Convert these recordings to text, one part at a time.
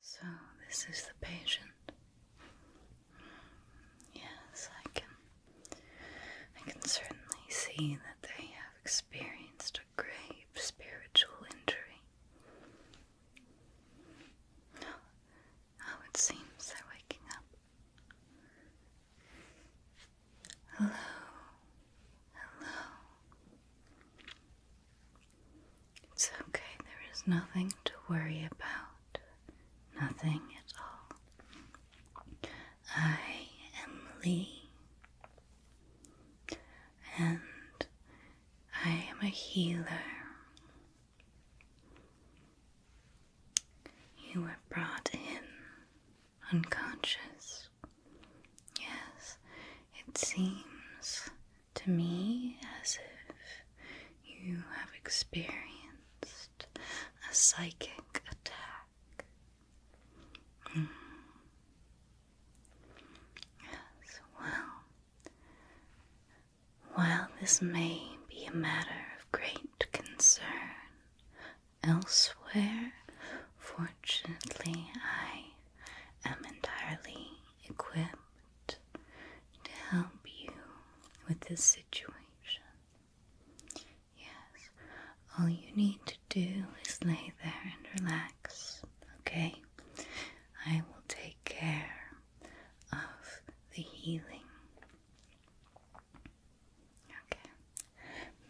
So, this is the patient. Yes, I can. I can certainly see that they have experienced a grave spiritual injury. Oh, it seems they're waking up. Hello, hello. It's okay, there is nothing to worry about. Nothing at all. I am Lee, and I am a healer. You were brought in unconscious. Yes, it seems to me as if you have experienced a psychic attack. Mm. well, while this may be a matter of great concern elsewhere, fortunately, I am entirely equipped to help you with this situation. Yes, all you need to do is lay there and relax, okay? I will take care of the healing. Okay,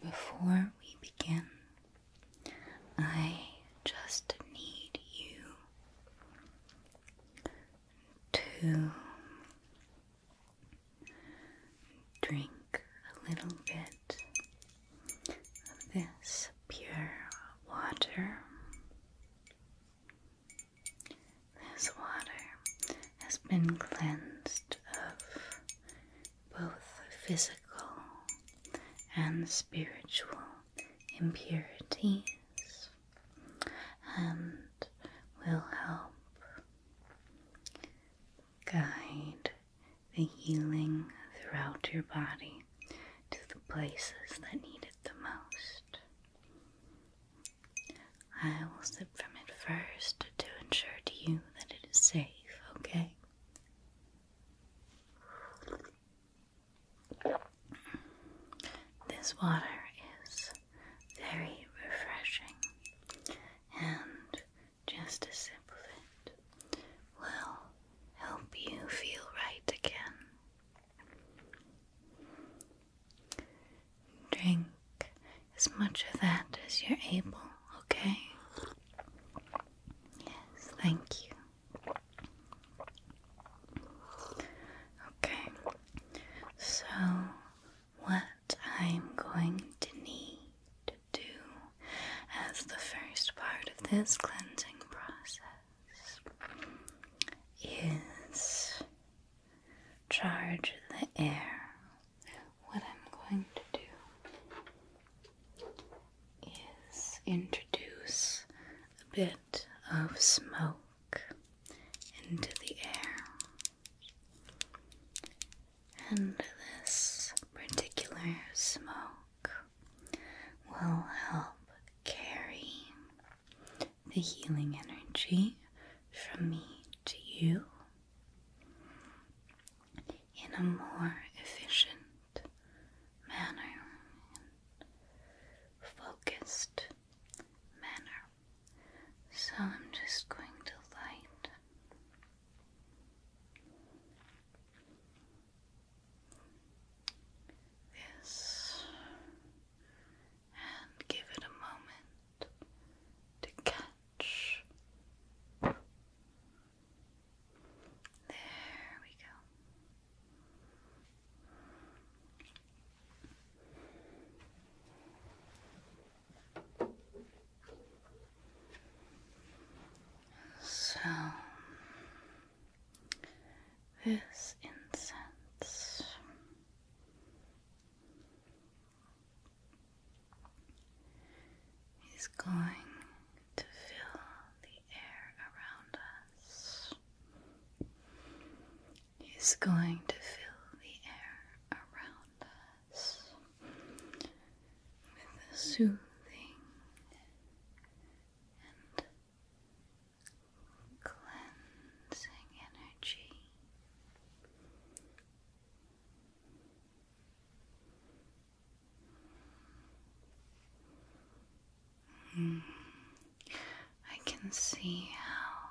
before we begin, I just need you to drink a little bit of this pure water. This water has been cleansed of both physical and spiritual impurities and will help guide the healing throughout your body to the places that need it the most. I will sip from it first to ensure to you that it is safe, okay? This water is very refreshing, and just a sip of it will help you feel right again. Drink as much of that as you're able, okay? Yes, thank you. Okay, so what I'm going to need to do as the first part of this cleansing process is charge the air. What I'm going to do is introduce a bit of smoke into the air, and this particular smoke will help carry the healing energy from me to you in a more efficient manner, focused manner. So I'm just going to light this and give it a moment to catch. There we go. So, this incense is going to fill the the He's going to fill the air around us with a soothing and cleansing energy. I can see how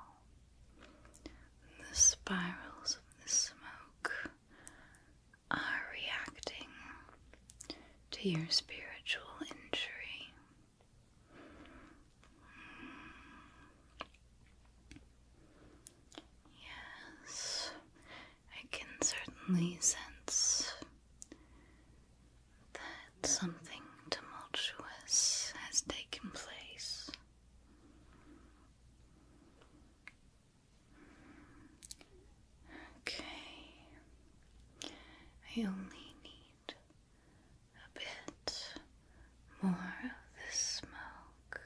the spirals of the smoke are reacting to your spiritual injury. Yes, I can certainly sense that something tumultuous has taken place. Okay, I only need a bit more of this smoke.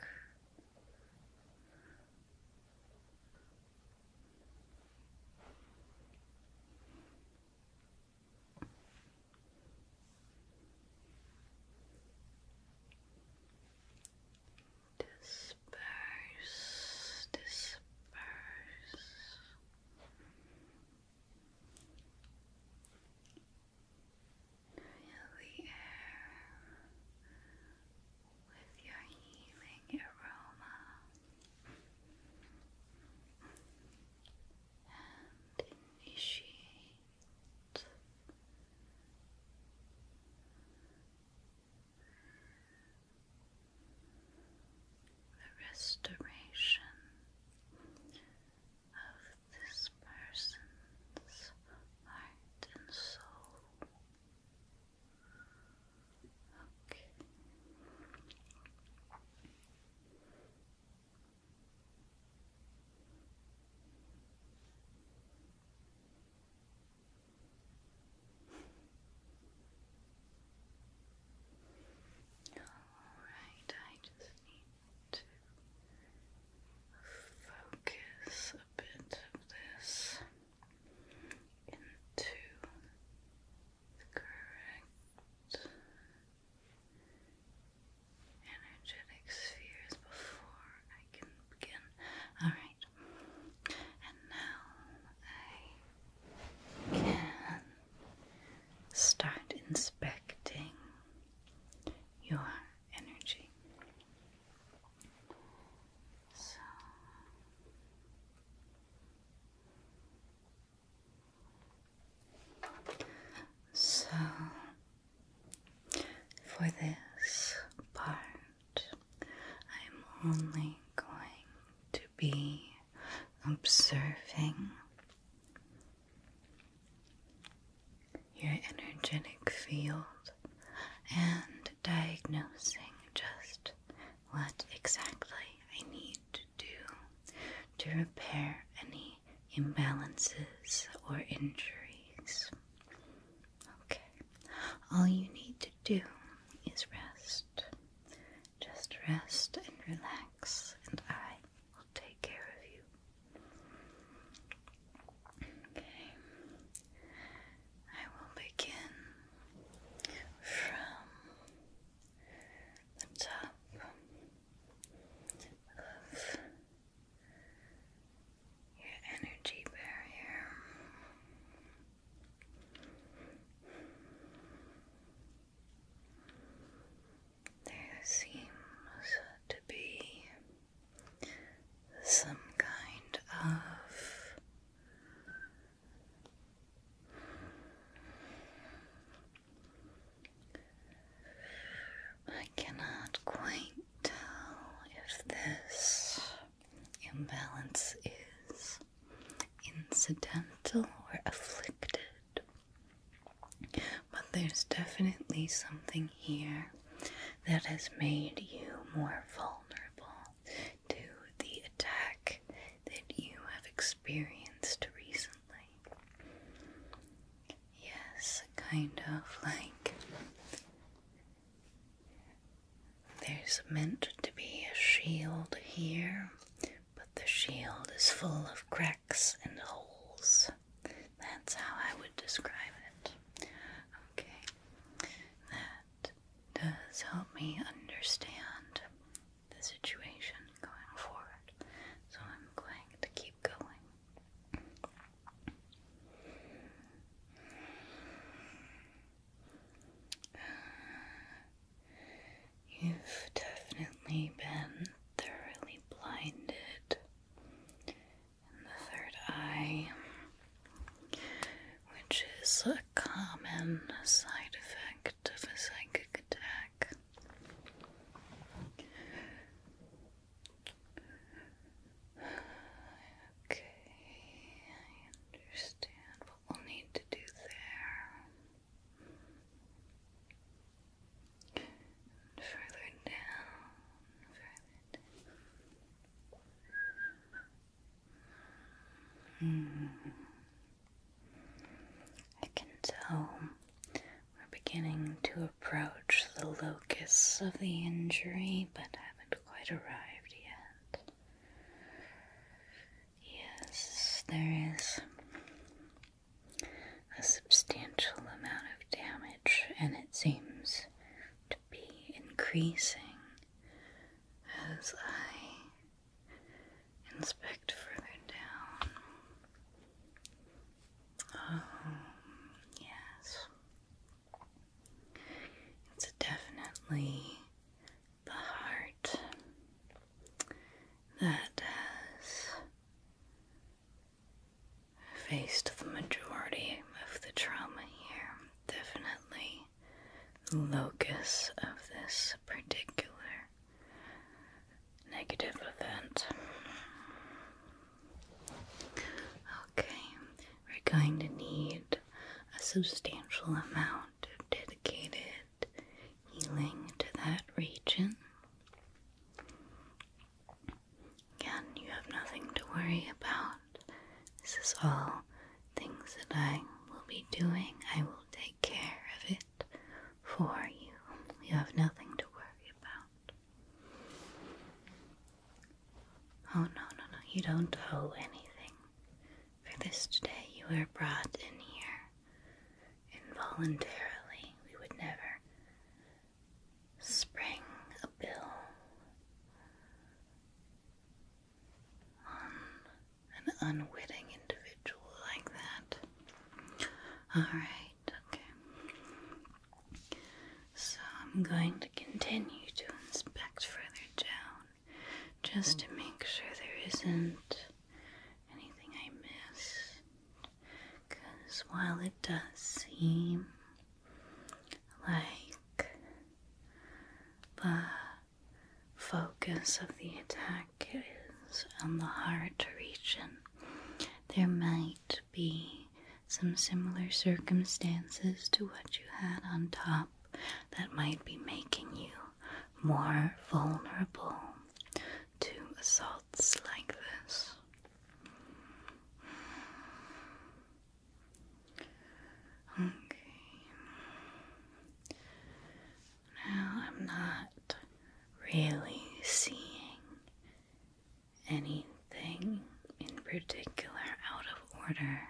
Disperse, disperse. Fill the air with your healing aroma and initiate the restoration of this person's heart and soul. Okay. Alright, I just need to focus a bit of this into correct energetic spheres before I can begin. Alright, and now I can start inspecting your energy. So, so, for this part, I'm only going to be observing your energetic field and diagnosing just what exactly I need to do to repair any imbalances or injuries. Okay, all you need to do is rest. Just rest and relax, and I will take care of you. Okay, I will begin from the top of your energy barrier. There seems to be some kind of I cannot quite tell if this imbalance is incidental or afflicted, but there's definitely something here that has made you more vulnerable to the attack that you have experienced recently. Yes, kind of like there's meant to be a shield here, but the shield is full of cracks and holes. That's how I would describe it. Okay, that does help me understand the situation going forward. So I'm going to keep going. You've definitely been thoroughly blinded in the third eye, which is a common side effect bit of a psychic attack. Okay, I understand what we'll need to do there. further down, further hmm. I can tell we're beginning to approach the locus of the injury, but haven't quite arrived yet. Yes, there is a substantial amount of damage, and it seems to be increasing as I Inspect further down. Oh, yes. It's definitely the heart that has faced the majority of the trauma here. Definitely locus of this particular negative event. Okay, we're going to need a substantial amount of dedicated healing to that region. Again, you have nothing to worry about. This is all things that I will be doing, I will take care of it for you. You have nothing to worry about. Oh, no, no, no, you don't owe anything. For this today, you were brought in here involuntarily. We would never spring a bill an unwitting individual like that. Alright, okay. So I'm going to continue to inspect further down just to make sure there isn't anything I miss. Because while it does seem like the focus of the attack is on the heart region, there might be some similar circumstances to what you had on top that might be making you more vulnerable to assaults like this. Okay. Now I'm not really seeing anything in particular out of order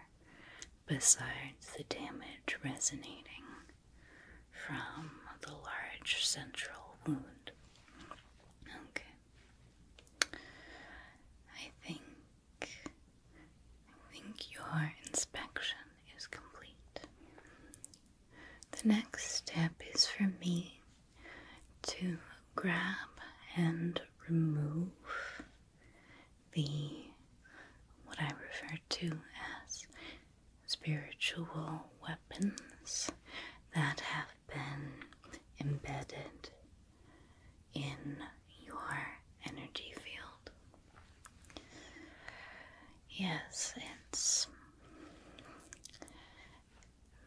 besides the damage resonating from the large central wound. Okay. I think I think your inspection is complete. The next step is for me to grab and remove the what I refer to as spiritual weapons that have been embedded in your energy field. Yes, it's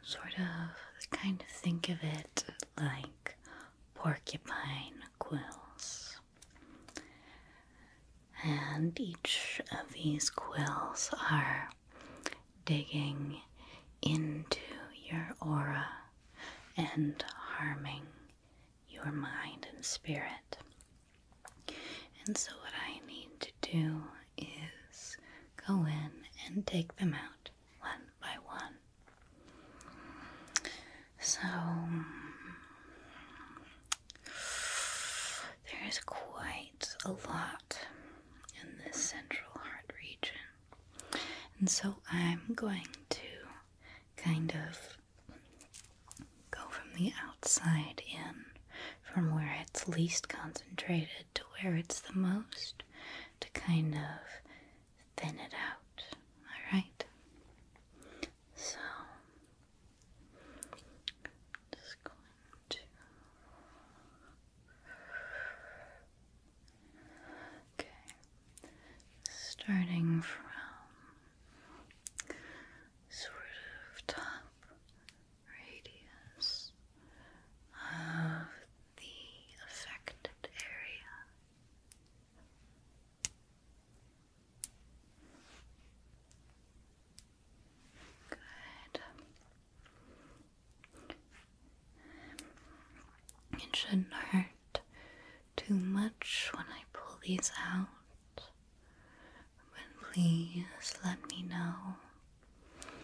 sort of kind of think of it like porcupine quills. And each of these quills are digging into your aura and harming your mind and spirit. And so, what I need to do is go in and take them out one by one. So, there is quite a lot in this central heart region. And so, I'm going to kind of Go from the outside in, from where it's least concentrated to where it's the most, to kind of thin it out. Alright? So, just going to okay starting from sort of top radius of the affected area. Good. It shouldn't hurt too much when I pull these out, but please let me know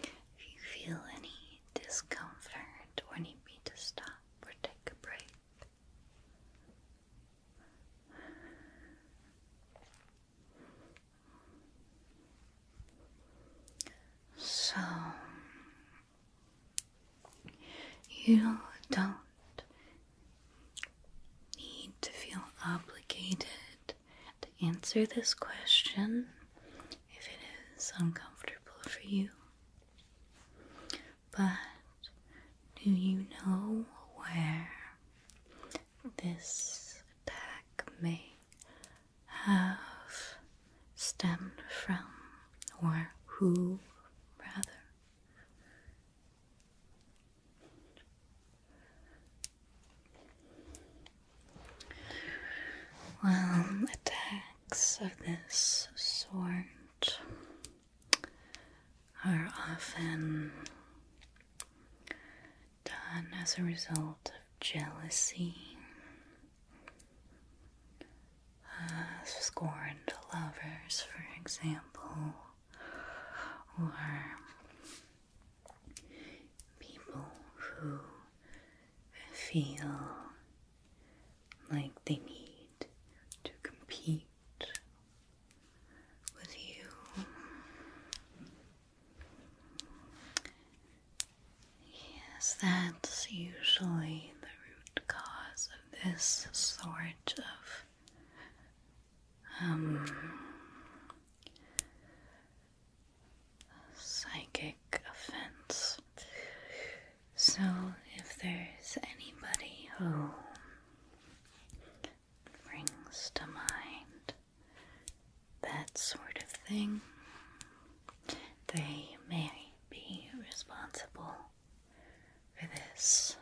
if you feel any discomfort or need me to stop or take a break. So, you don't need to feel obligated to answer this question if it is uncomfortable for you. But do you know where this attack may have stemmed from, or who rather? Well, attacks of this sort are often done as a result of jealousy, uh, scorned lovers, for example or people who feel like they need to compete with you. Yes, that's usually the root cause of this sort of um, psychic offense. So, if there's anybody who brings to mind that sort of thing, they may be responsible for this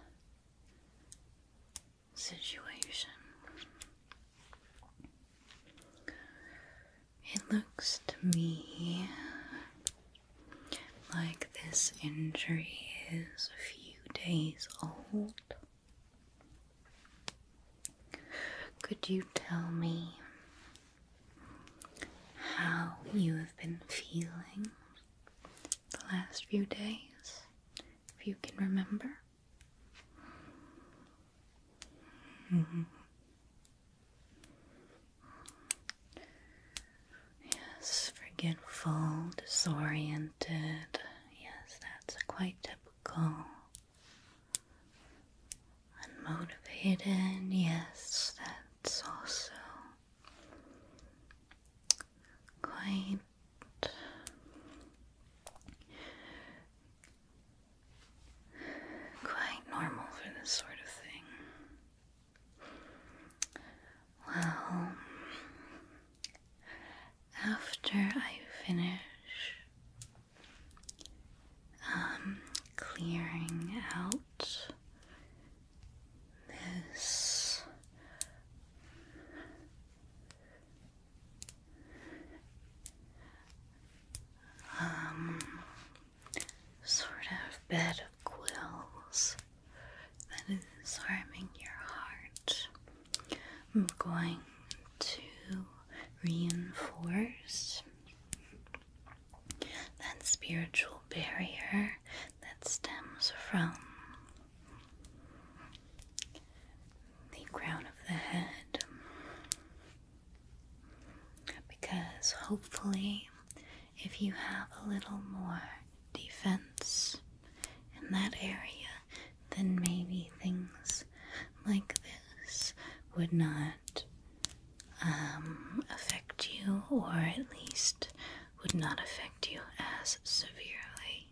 situation. It looks to me like this injury is a few days old. Could you tell me how you have been feeling the last few days, if you can remember. Yes, forgetful, disoriented. Yes, that's quite typical. Unmotivated, yes, that's also quite quite normal for this sort of thing. Well, after I finish um, clearing out Miss um, sort of bed of quills that is harming your heart. I'm going to reinforce that spiritual barrier that stems from the crown of the head. Because hopefully, if you have a little more defense in that area, then maybe things like this would not um, affect you, or at least would not affect you as severely.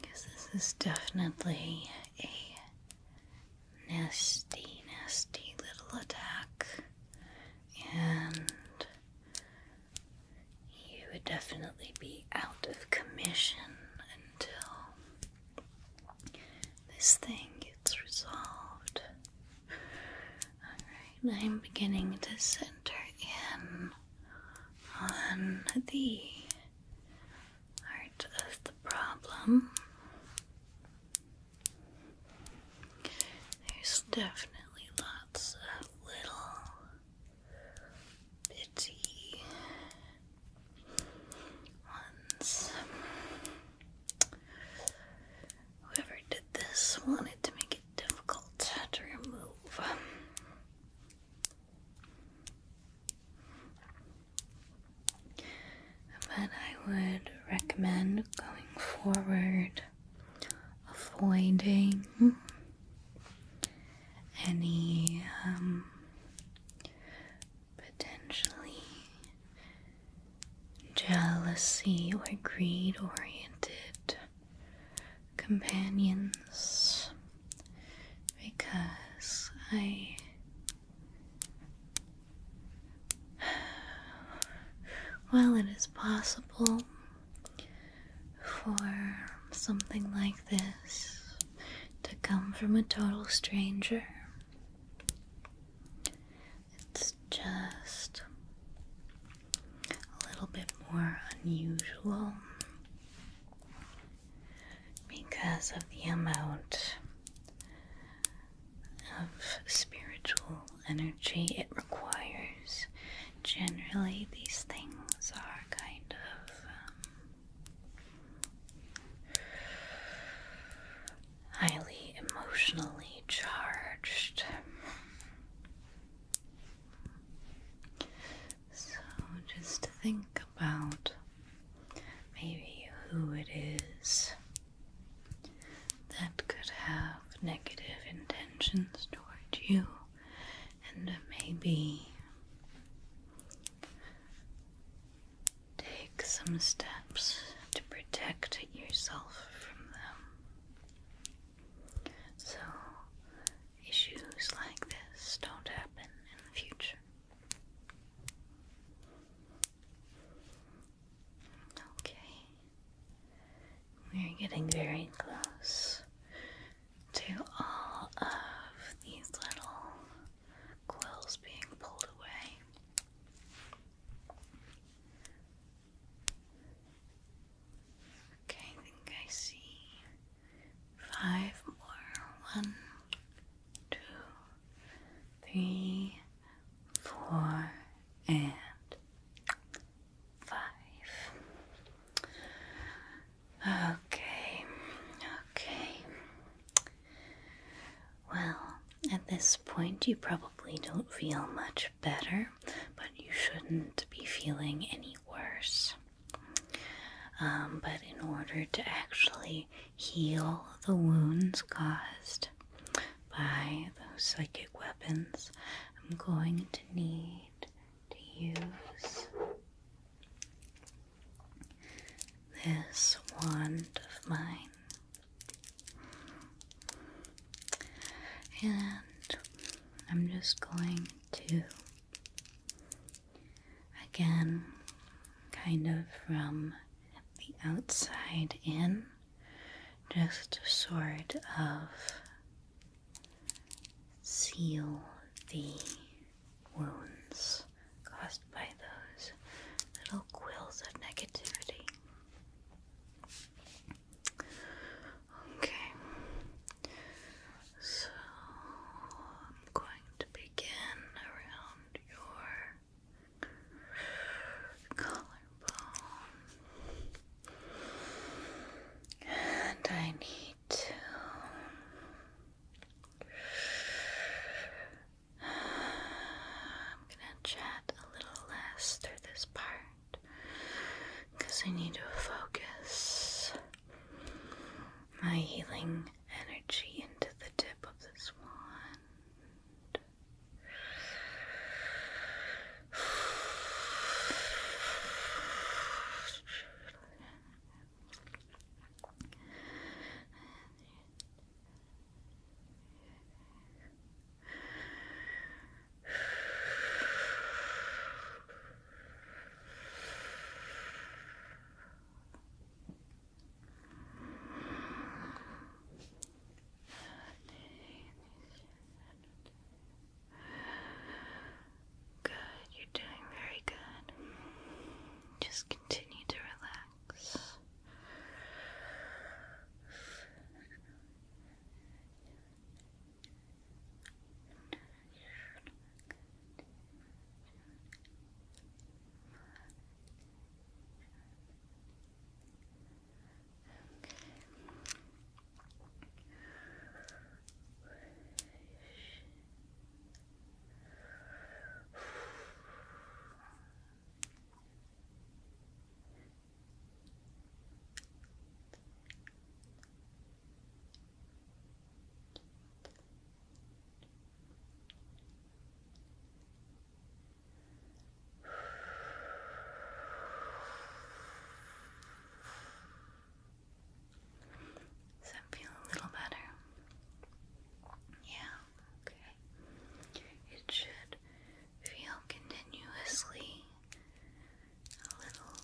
Because this is definitely a nasty, nasty little attack, and you would definitely be out of commission until this thing gets resolved. I'm beginning to center in on the heart of the problem. There's definitely lots of little bitty ones. Whoever did this wanted to make it difficult to remove. But I would recommend going forward avoiding any um, potentially jealousy or greed oriented companions because I while it is possible for something like this to come from a total stranger, it's just a little bit more unusual because of the amount of spiritual energy it requires. Generally, these things are kind of um, highly emotionally charged. So just think about maybe who it is that could have negative intentions towards you, and maybe take some steps to protect yourself from them. So issues like this don't happen in the future. Okay. We're getting very close to all of these little quills being pulled away. Okay, I think I see five more. One, two, three, four, and five. Okay, okay. Well, at this point, you probably don't feel much better, but you shouldn't be feeling any worse. Um, but in order to actually heal the wounds caused by those psychic weapons, I'm going to need to use this wand of mine. And I'm just going to again kind of from the outside in just sort of seal the wounds caused by those little quills of negativity. Okay, so I'm going to begin around your collarbone, and I need to I'm gonna chat a little less through this part because I need to focus my healing energy into the tip of this wand. Good, you're doing very good. Just continue to relax relax. Okay. Does that feel a little better? Yeah okay? It should feel continuously a little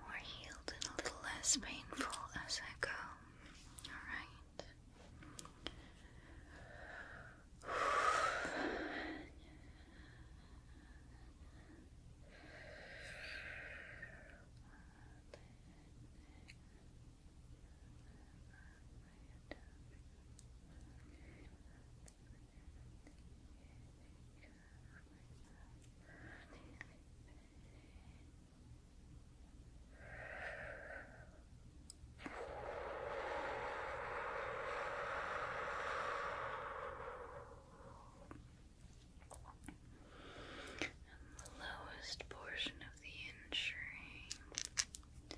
more healed and a little less painful as I go, alright? And the lowest portion of the in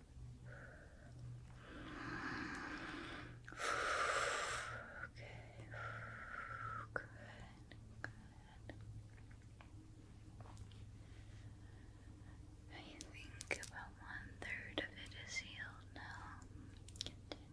good, good. I think about one third of it is healed now. Continuing.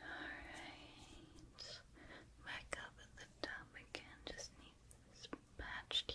Alright. Back up at the top again. Just need this patched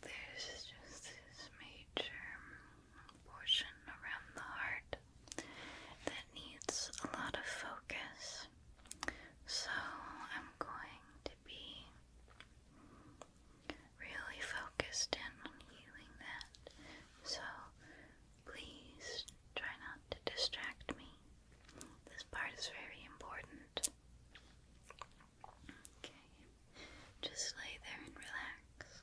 There's just this major portion around the heart that needs a lot of focus. So I'm going to be really focused in on healing that. So please try not to distract me. This part is very important. Okay, just lay there and relax.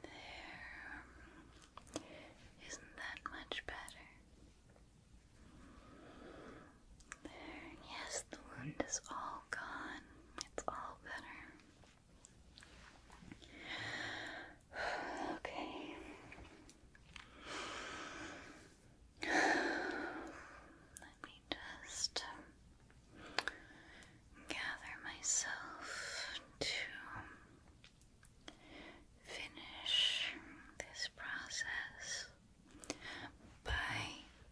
There. Isn't that much better? There. Yes, the wound is all gone. It's all better. Okay. Let me just gather myself to finish this process by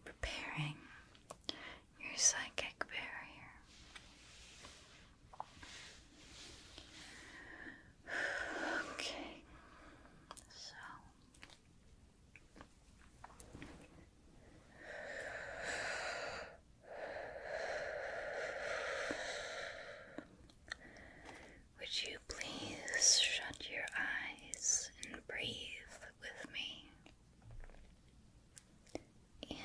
preparing your psychic barrier. Okay, so would you please shut your eyes and breathe with me? In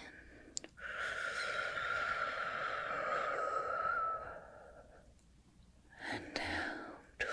and out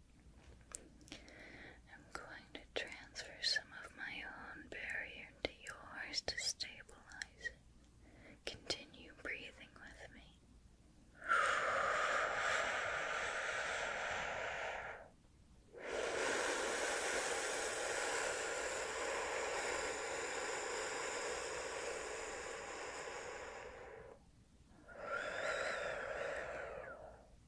I'm going to transfer some of my own barrier to yours to stabilize it. Continue breathing with me.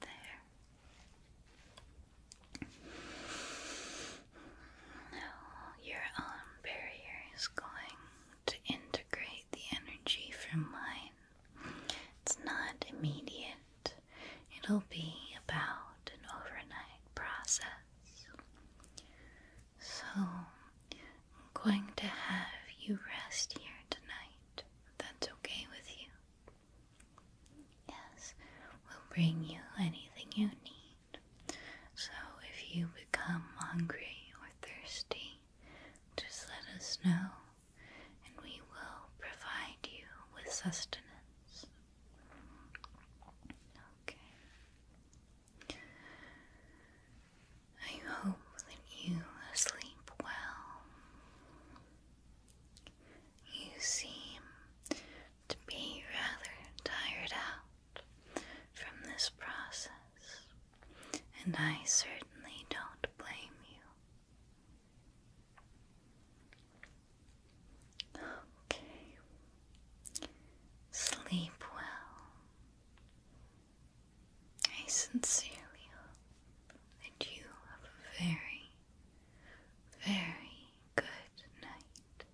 There. Now your arm um, barrier is going to integrate the energy from mine. It's not immediate, it'll be about an overnight process. So, I'm going to have you rest here tonight, that's okay with you. Yes, we'll bring you anything you need. So, if you become hungry or thirsty, just let us know and we will provide you with sustenance. Okay. I hope that you sleep well. You seem to be rather tired out from this process and I certainly don't blame you. Okay. Sleep well. I sincerely hope that you have a very, very good night.